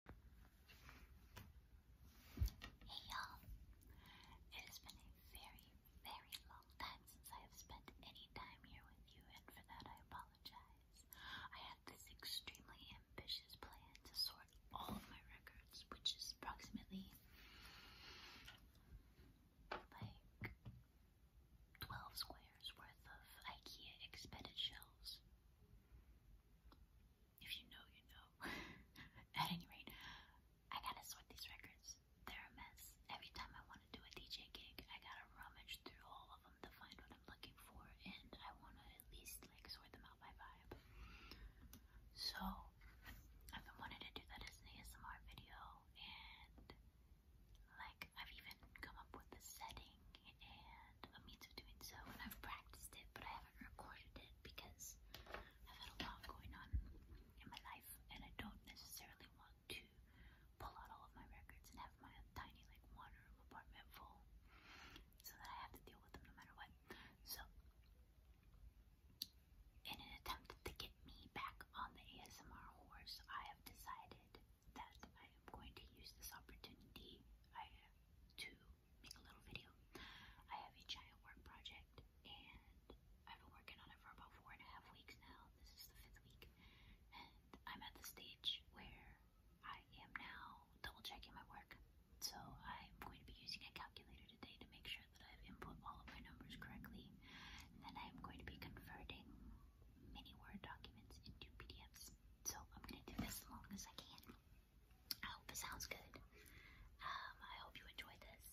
Hey y'all! It has been a very, very long time since I have spent any time here with you, and for that I apologize. I had this extremely ambitious plan to sort all of my records, which is approximately like 12 squares worth of IKEA expedited shelves. If you know, you know. At any rate, I gotta sort these records. They're a mess. Every time I want to do a DJ gig, I gotta rummage through all of them to find what I'm looking for, and I wanna at least like sort them out by vibe. So, I've been wanting to do that as an ASMR video, and like I've even come up with the setting and and a means of doing so, and I've practiced it, but I haven't recorded it because I've had a lot going on in my life, and I don't necessarily want to pull out all of my records and have my tiny, like, one room apartment full so that I have to deal with them no matter what. So, in an attempt to get me back on the ASMR horse, I have decided that I am going to use this opportunity I, to make a little video. I have a giant work project and I've been working on it for about four and a half weeks now. This is the fifth week. And I'm at the stage where I am now double checking my work. So I'm going to be using a calculator today to make sure that I've input all of my numbers correctly. And then I'm going to be converting many Word documents into PDFs. So I'm going to do this as long as I can. I hope it sounds good. Um, I hope you enjoyed this,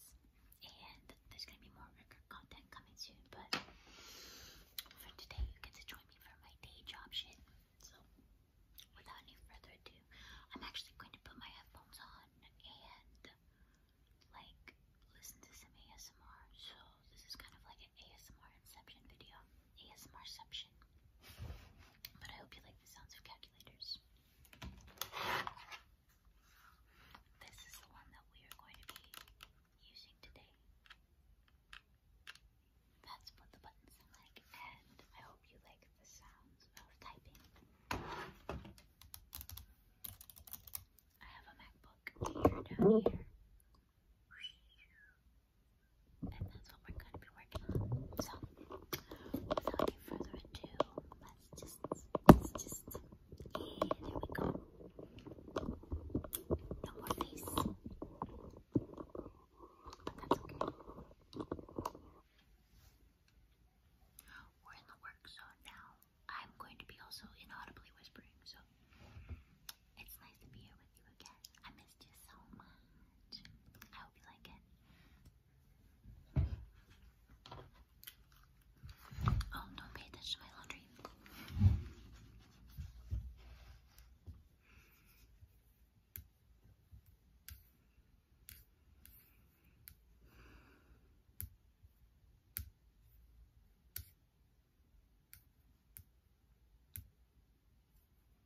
and there's gonna be more content coming soon. But for today, you get to join me for my day job shit. So, without any further ado, I'm actually going to put my headphones on and like listen to some ASMR. So this is kind of like an ASMR inception video. ASMRception. But I hope you like the sounds of calculators. This is the one that we are going to be using today. That's what the buttons sound like, and I hope you like the sounds of typing. I have a MacBook here down here. And that's what we're going to be working on. So, without any further ado, let's just, let's just, eh, there we go. No more face. But that's okay. We're in the work zone now. I'm going to be also inaudibly whispering, so it's nice to be here with you again. I missed you so much. I hope you like it. Oh, don't pay attention to my laundry.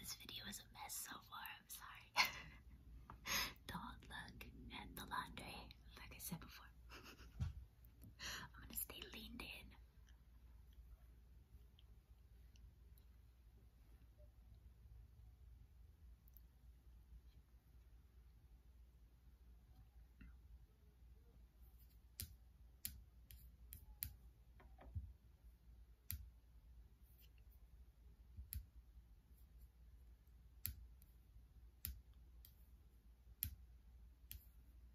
This video is a mess so far, I'm sorry. the hot look and the laundry, like I said before. I'm gonna stay leaned in.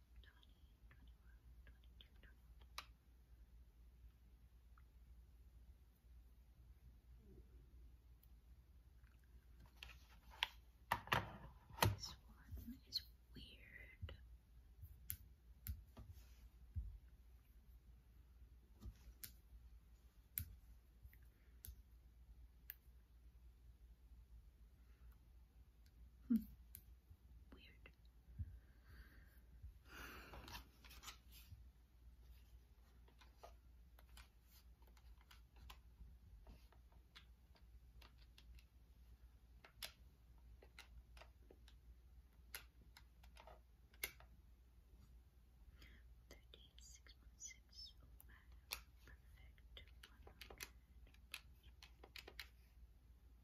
This one is weird. Hmm. Weird. Thirteen six one six. Oh wow, perfect. One hundred.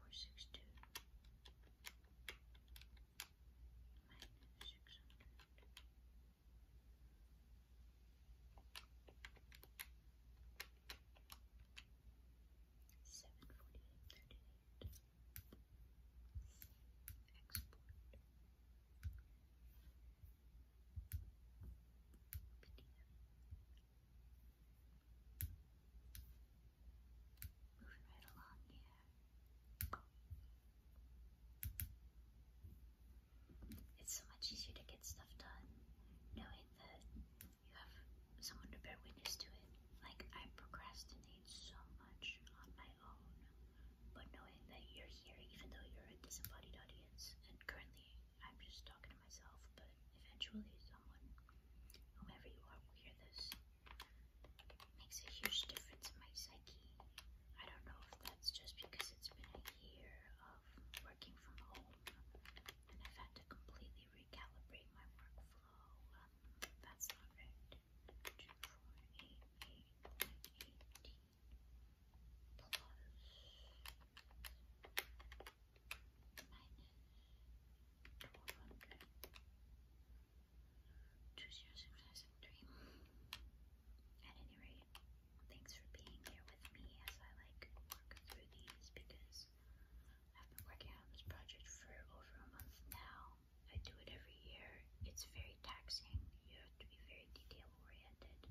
four six two minus six hundred seven forty eight thirty eight export PDF. Moving right along here. It's so much easier to get stuff done knowing that you have someone to bear witness to it. Like, I procrastinate so much on my own, but knowing that you're here, even though you're a disembodied audience, and currently I'm just talking to myself, but eventually someone. Whoever you are will hear this. It makes a huge difference in my psyche. I don't know if that's just because it's been a year of working from home and I've had to completely recalibrate my workflow. Um, that's not right. Two, four, eight, eight, eighteen plus Choose your success and dream. At any rate, thanks for being here with me as I like work through these because I've been working on this project for over a month now. I do it every year. It's very taxing. You have to be very detail oriented,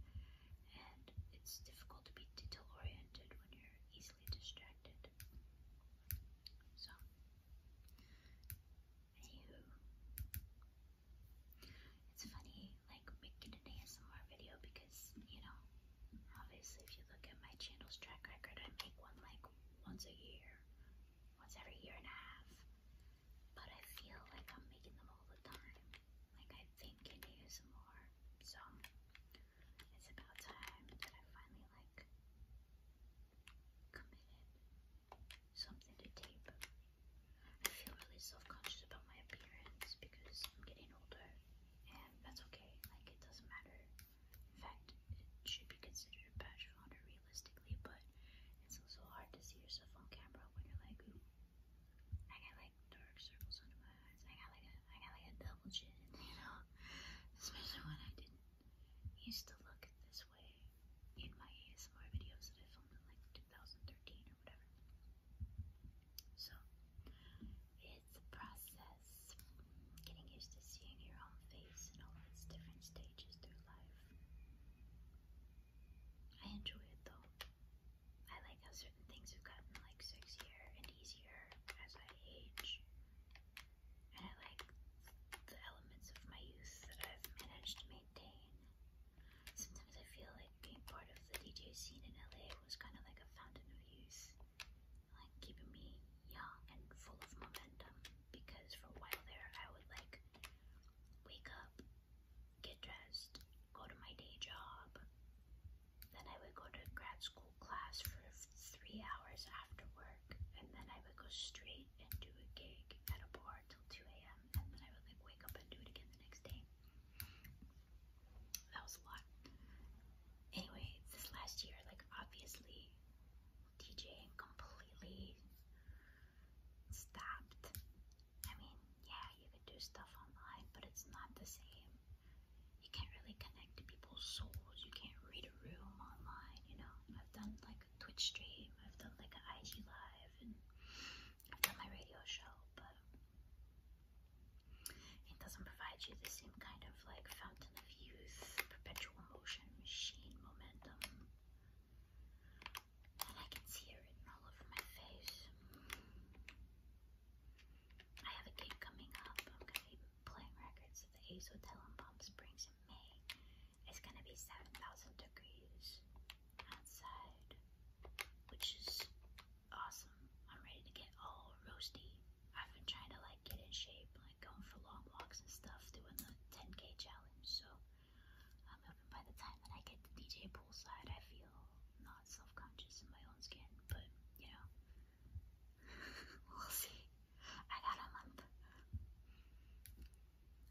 and it's difficult to be detail oriented when you're easily distracted. So, anywho, it's funny like making an ASMR video because you know, obviously, if you look at my channel's track record, I make one like once a year, once every year and a half. But I feel like I'm making them all the time. Like I think in ASMR, so it's about time that I finally like committed something to tape. I feel really self-conscious about my appearance because I'm getting older and that's okay. Like it doesn't matter. In fact, it should be considered a badge of honor realistically, but it's also hard to see yourself on camera when you're like, ooh, I got like dark circles under my eyes. I got like a I got like a double chin, you know? Especially when I didn't used to look this way in my ASMR videos that I filmed in like 2013 or whatever. So, it's a process getting used to seeing your own face in all its different stages through life. I enjoy it though. I like how certain things have gotten like sexier and easier as I age and I like the elements of my youth that I've managed to maintain. Sometimes I feel like being part of the DJ scene in LA was kind of like a fountain of youth, like keeping me young and full of momentum. Because for a while there, I would like wake up, get dressed, go to my day job, then I would go to grad school class for three hours after work, and then I would go straight and do a gig at a bar till 2 a.m., and then I would like wake up and do it again the next day. That was a lot. Anyway, this last year, like obviously, DJing completely stopped. I mean, yeah, you could do stuff online, but it's not the same you can't really connect to people's souls. You can't read a room online, you know. I've done like a Twitch stream, I've done like an IG live, and I've done my radio show, but it doesn't provide you the same kind of like fountain of youth, perpetual motion, machine momentum. And I can see it written all over my face. I have a gig coming up. I'm gonna be playing records at the Ace Hotel in Palm Springs in May. It's gonna be 7,000 degrees outside, which is awesome. I'm ready to get all roasty. I've been trying to like get in shape, like going for long walks and stuff, doing the 10k challenge. So I'm um, hoping by the time that I get to DJ poolside, I feel not self-conscious in my own skin. But you know, we'll see. I got a month.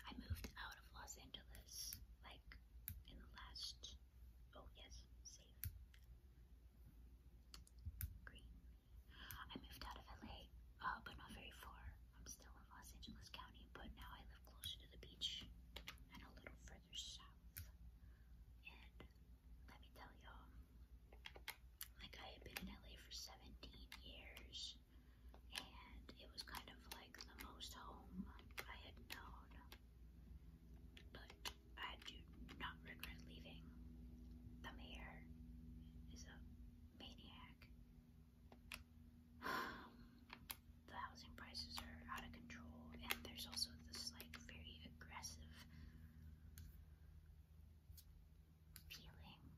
I moved out of Los Angeles like in the last. Oh, yes, save. Green. I moved out of LA, uh, but not very far. I'm still in Los Angeles County, but now I live closer to the beach and a little further south. And let me tell y'all, like, I had been in LA for 17 years, and it was kind of like the most home I had known. But I do not regret leaving. The mayor is a maniac. the housing prices are out of control, and there's also this, like, very aggressive feeling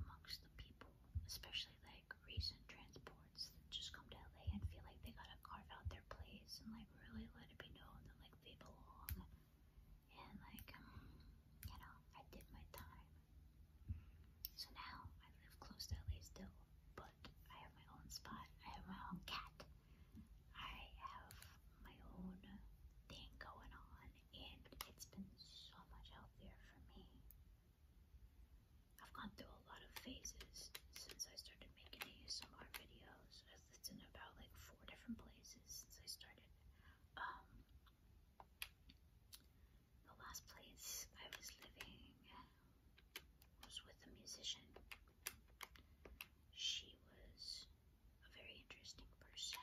amongst the people, especially like recent transports that just come to LA and feel like they gotta carve out their place and like really let it be known that like they belong. And like, um, you know, I did my time. So now I live close to LA still, but I have my own spot. I have my own cat. I have my own thing going on, and it's been so much healthier for me. I've gone through a lot of phases since I started making ASMR videos. It's in about like four different places since I started. Um, the last place I was living was with a musician. She was a very interesting person.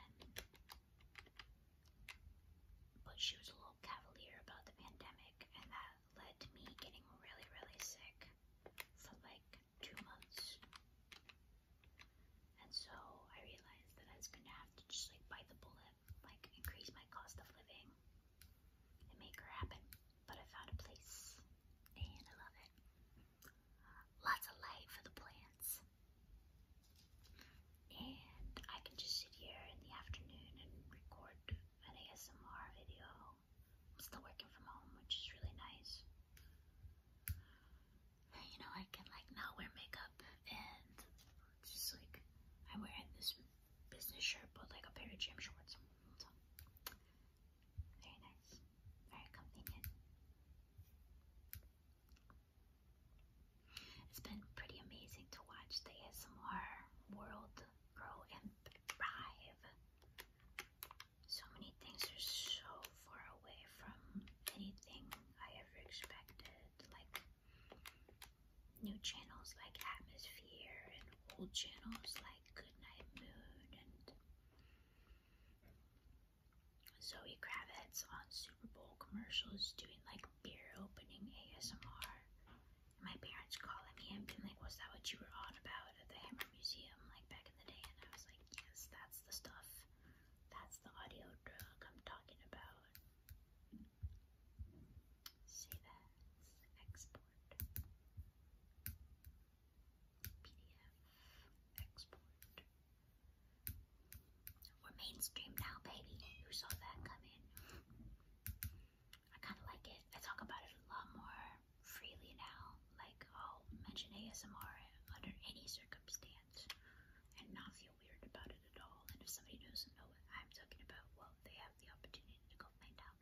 But she was a little cavalier about the pandemic, and that led to me getting really, really sick for like two months. And so I realized that I was gonna have to just like bite the bullet, like increase my cost of living and make her happen. But I found a place and I love it. Lots of light for the plants. And I can just sit here in the afternoon and record an ASMR video. I'm still working from home, which is really nice. You know, I can like not wear makeup and just like I'm wearing this business shirt but like a pair of gym shorts. So, very nice, very convenient. It's been pretty amazing to watch the ASMR world grow and thrive. So many things are so far away from anything I ever expected, like new channels like Atmosphere and old channels like Goodnight Moon and Zoe Kravitz on Super Bowl commercials doing like beer opening ASMR. And my parents calling me and being like, Was that what you were on about at the Hammer Museum like back in the day? And I was like, Yes, that's the stuff. That's the audio drug I'm talking about. Save that. Export. PDF. Export. We're mainstream now, baby. Who saw that coming? I kind of like it. I talk about it a lot more freely now. Like, I'll mention ASMR under any circumstance and not feel weird about it at all. And if somebody doesn't know what I'm talking about, well, they have the opportunity to go find out.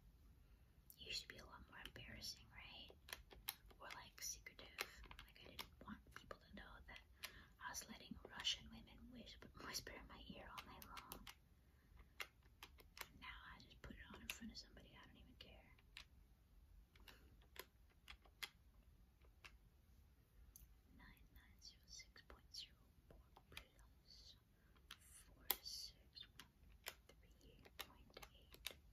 It used to be a lot more embarrassing, right? or like secretive. Like I didn't want people to know that I was letting Russian women whisper in my ear all night long. And now I just put it on in front of somebody, I don't even care. Nine nine zero six point zero four plus four six one three point eight.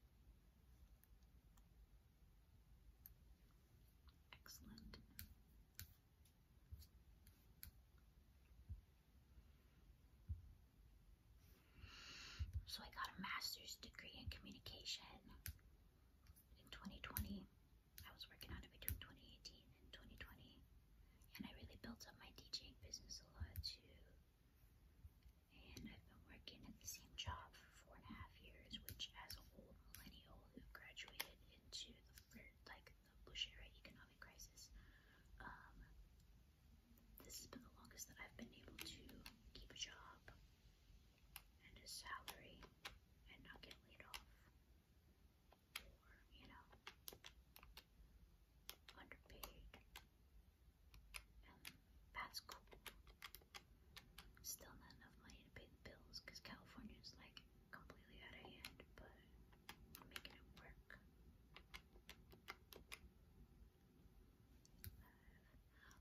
Excellent. So I got a master's degree in communication in 2020. I was working on it between 2018 and 2020, and I really built up my DJing business a lot too. And I've been working at the same job for four and a half years, which as an old millennial who graduated into the like the Bush era economic crisis, um, this has been the longest that I've been able to keep a job and a salary and not get laid off or, you know, underpaid. And that's cool. Still not enough money to pay the bills because California's like completely out of hand, but I'm making it work.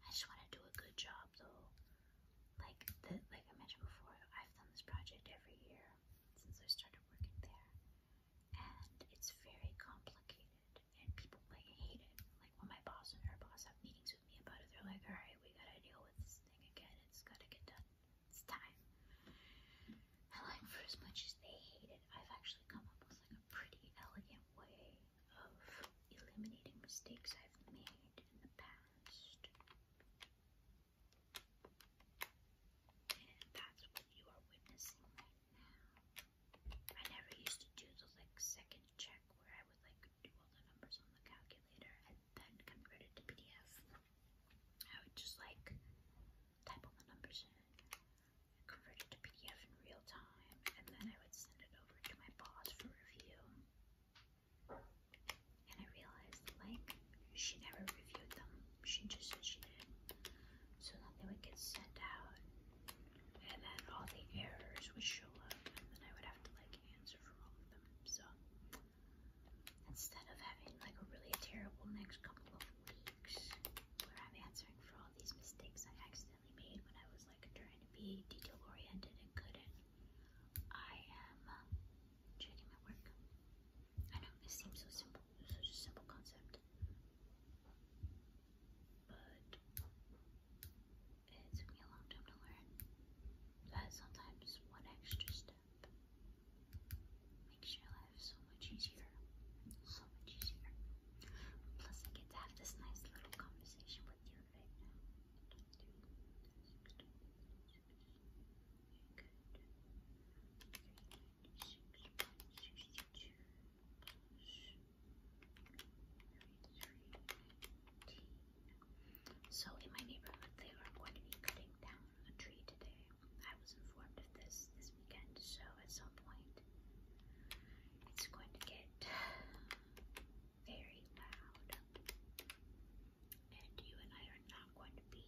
I just want to do a good job though. Like the, like I mentioned before, I've done this project every year since I started working there, and it's very complicated, and people like hate it. Like when my boss and her boss have meetings honest with me about it. They're like, all right, we gotta deal with this thing again. It's gotta get done. It's time. And like, for as much as they hate it, I've actually come up with like a pretty elegant way of eliminating mistakes I've made in the past. And that's what you are witnessing right now. I never used to do the like second check where I would like do all the numbers on the calculator and then convert it to PDF. I would just like type all the numbers in, convert it to PDF in real time, and then I would send it over to my boss for review. And I realized like she never reviewed them. She just said she did. So then they would get sent out and then all the errors would show up and then I would have to like answer from all of them. So instead of having like a really terrible next couple of weeks where I'm answering for all these mistakes I accidentally made when I was like trying to be detail oriented and couldn't, I am uh, checking my work. I know this seems so simple, such a simple concept. But it took me a long time to learn but sometimes one extra step makes your life so much easier so much easier plus I get to have this nice little conversation with you right now Good. 396 plus 62 plus 33, 19, so in my neighborhood, they are going to be cutting down a tree today. I was informed of this this weekend, so at some point, it's going to get very loud. And you and I are not going to be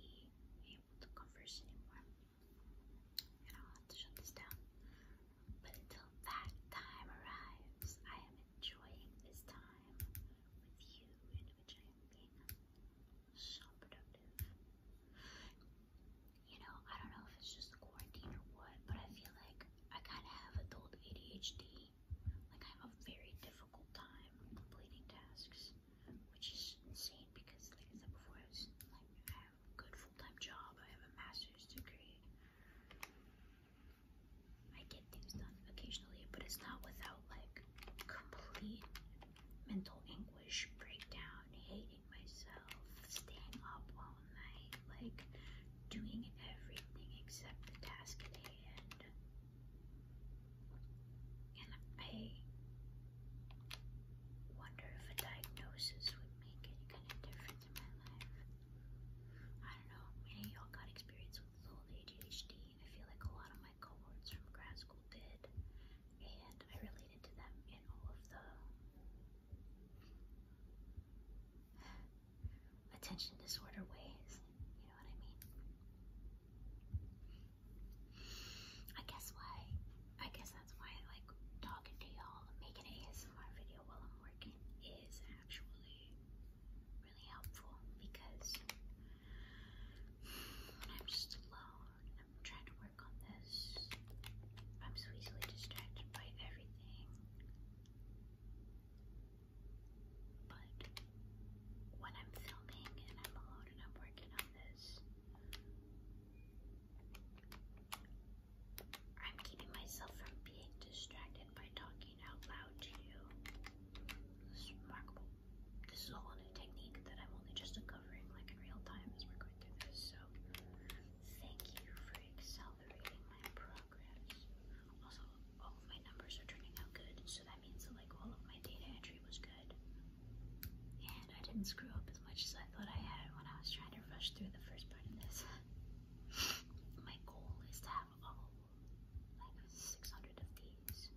able to converse anymore. And I'll have to shut this down. But until that time arrives, I am enjoying this time with you in which I am being so productive. You know, I don't know if it's just the quarantine or what, but I feel like I kind of have adult ADHD. Like, I have a very difficult time completing tasks, which is insane because, like I said before, I was like, I have a good full time job, I have a master's degree. I get things done occasionally, but it's not without like complete mental anguish, breakdown, hating myself, staying up all night, like doing everything except the task at hand. And I wonder if a diagnosis would make any kind of difference in my life. I don't know. Maybe y'all got experience with full ADHD. I feel like a lot of my cohorts from grad school did, and I related to them in all of the attention disorder ways. You know what I mean? I guess why, I guess that's why I like talking to y'all and making an ASMR video while I'm working is actually really helpful because I'm just alone I'm trying to work on this, I'm so easily distracted by everything. But when I'm filming and I'm alone and I'm working on this, I'm keeping myself from being distracted by talking out loud to you. This is remarkable. This is a new technique that I'm only just uncovering like in real time as we're going through this, so thank you for accelerating my progress. Also, all of my numbers are turning out good, so that means that like all of my data entry was good. And I didn't screw up as much as I thought I had when I was trying to rush through the first part of this. my goal is to have all like 600 of these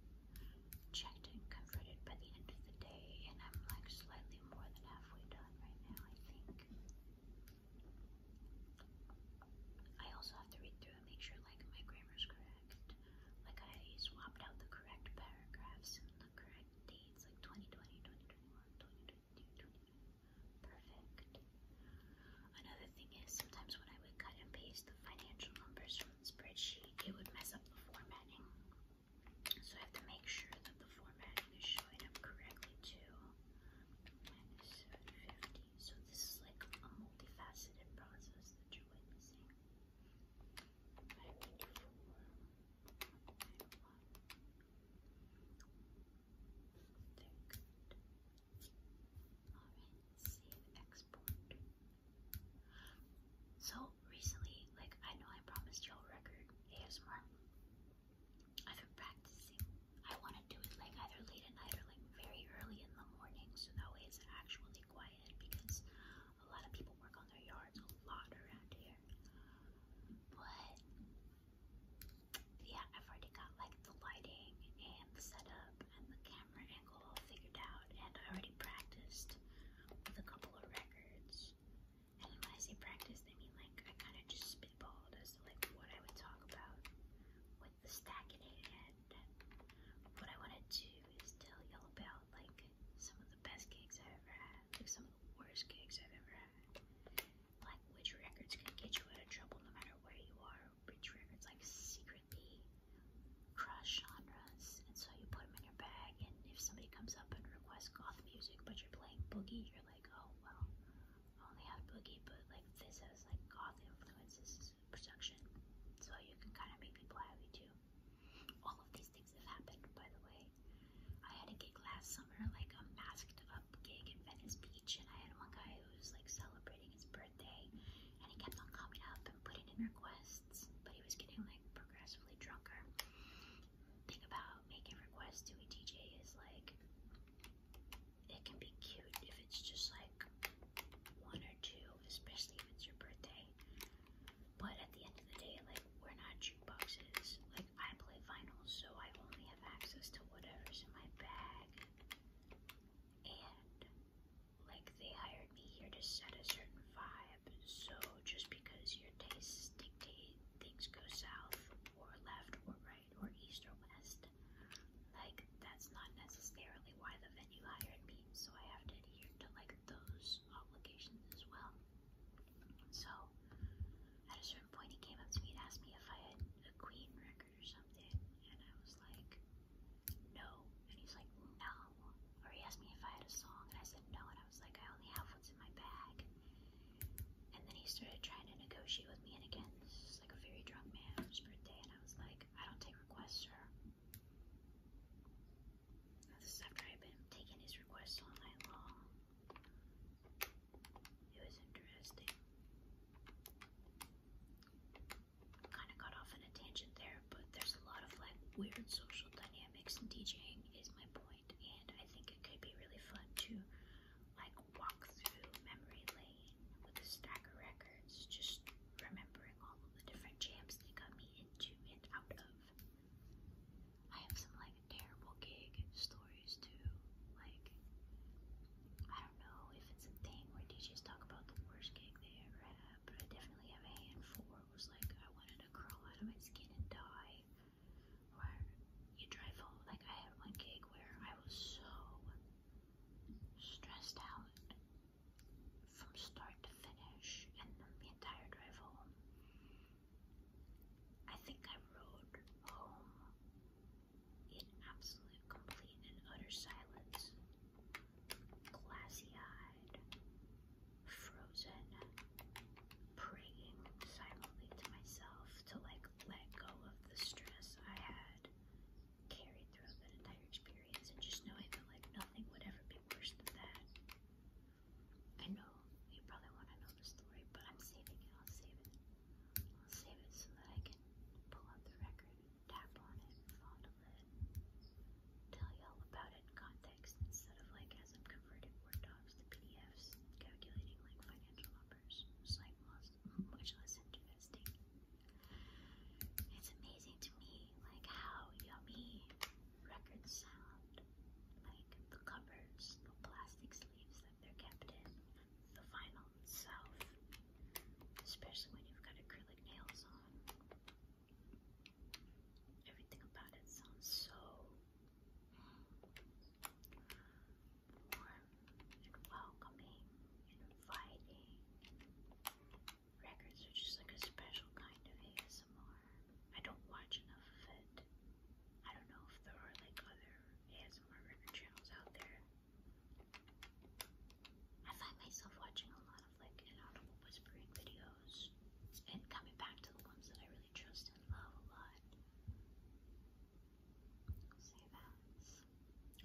checked and converted by the end of the day, and I'm like slightly more than halfway done right now, I think. I also have to read through and make sure like my grammar's correct. Like I swapped out the correct paragraphs and the correct dates, like 2020, 2021, 2022, 2023. Perfect. Another thing is sometimes when I would cut and paste the financial numbers from the spreadsheet, it would mess up the formatting. So I have to make sure that the formatting is showing up correctly too. Minus 750. So this is like a multifaceted process that you're witnessing. 954, 901. Very good. Alright, save export. So recently, like I know I promised y'all record ASMR. I've been practicing. I want to do it like either late at night or like very early in the morning so that way it's actually quiet because a lot of people work on their yards a lot around here. But yeah, I've already got like the lighting and the setup and the camera angle all figured out, and I already practiced with a couple of records. And when I say practice, I mean like I kind of just spitballed as to like what I would talk about with the stack in hand. What I want to do is tell y'all about like some of the best gigs I've ever had, like some of the worst gigs I've ever had, like which records can get you out of trouble no matter where you are, rich records like secretly cross genres, and so you put them in your bag, and if somebody comes up and requests goth music, but you're playing boogie, you're like, oh well, I only have boogie, but like this has like goth influences production, so you can kind of make people happy too. All of these things have happened, by the way. I had a gig last summer, like a masked up gig in Venice Beach, and I had one guy who was like celebrating his birthday birthday, and he kept on coming up and putting in requests, but he was getting like progressively drunker. Thing about making requests to a DJ is like it can be cute if it's just like one or two, especially if it's your birthday. But at the end of the day, like we're not jukeboxes. Like I play vinyl, so I only have access to whatever's in my bag and like they hired me here to set a certain vibe. So just because your tastes dictate things go south or left or right or east or west, like that's not necessarily why the venue hired me. So I have to adhere to like those obligations as well. So at a certain point, he came up to me and asked me if I had a Queen record record or something? And I was like, no. And he's like, no. Or he asked me if I had a song, and I said no. And I was like, I only have what's in my bag. And then he started trying to negotiate with me. And again, this is like a very drunk man on his birthday. And I was like, I don't take requests, sir. And this is after I've been taking his requests all night long. It was interesting. Kind of got off on a tangent there, but there's a lot of like weird social dynamics and DJing is my point, and I think it could be really fun to like walk through memory lane with a stack of records, just remembering all of the different jams they got me into and out of. I have some like terrible gig stories too. Like I don't know if it's a thing where DJs talk about the worst gig they ever had, but I definitely have a handful where it was like I wanted to crawl out of my skin and die. Where you drive home, like I had one gig where I was so stressed out from start to finish, and then the entire drive home. I think I rode home in absolute, complete, and utter silence. Glassy eyed, frozen, praying silently to myself to like let go of the stress I had carried throughout that entire experience and just knowing that like nothing would ever be worse than that. I know you probably want to know the story, but I'm saving it. I'll save it. I'll save it so that I can pull up the record, tap on it, fondle it, tell you all about it in context instead of like as I'm converting Word docs to PDFs and calculating like financial numbers. It's like much less interesting. It's amazing to me like how yummy records sound. Like the covers, the plastic sleeves that they're kept in, the vinyl itself, especially when you've got acrylic nails on. Everything about it sounds so warm and welcoming and inviting. Records are just like a special kind of ASMR. I don't watch enough of it. I don't know if there are like other ASMR record channels out there I find myself watching a lot of like inaudible whispering videos and coming back to the ones that I really trust and love a lot. So that's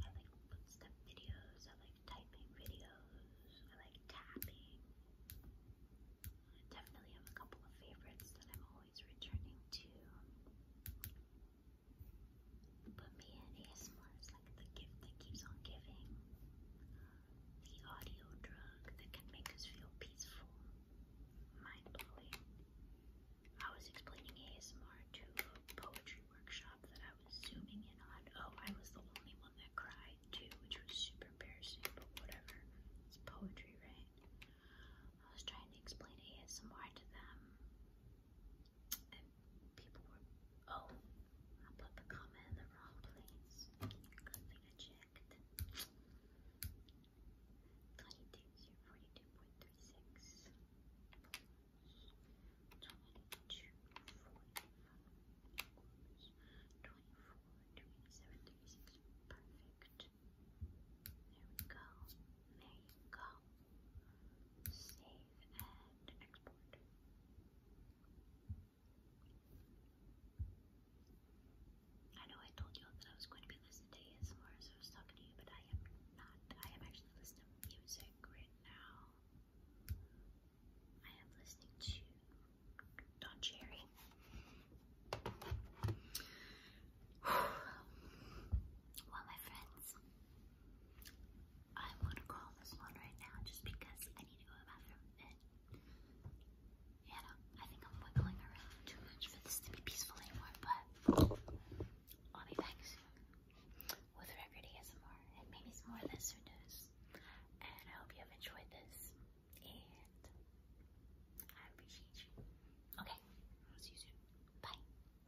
I like footstep videos, I like typing videos, I like tapping. I definitely have a couple of favorites that I'm always returning to. But me and ASMR is like the gift that keeps on giving. The audio drug that can make us feel peaceful. Mind blowing. I was explaining ASMR to a poetry workshop that I was zooming in on. Oh, I was the only one that cried too, which was super embarrassing, but whatever. It's poetry, right? I was trying to explain ASMR to them and people were, oh, I put the comma in the wrong place. Good thing I checked. 22, 42.36. 22, 45. 24, 27, 36. Perfect. There we go. There you go. Save and export. I know I told you all that I was going to be listening to ASMR as I was talking to you, but I am not. I am actually listening to music right now. I am listening to Don Cherry. Well, my friends, I want call this one right now just because I need to go to the bathroom and I think I'm wiggling around too much for this to be peaceful anymore, but I'll be back soon with Recordy and maybe some more of this, who knows? And I hope you have enjoyed this and I appreciate you. Okay, see you soon. Bye.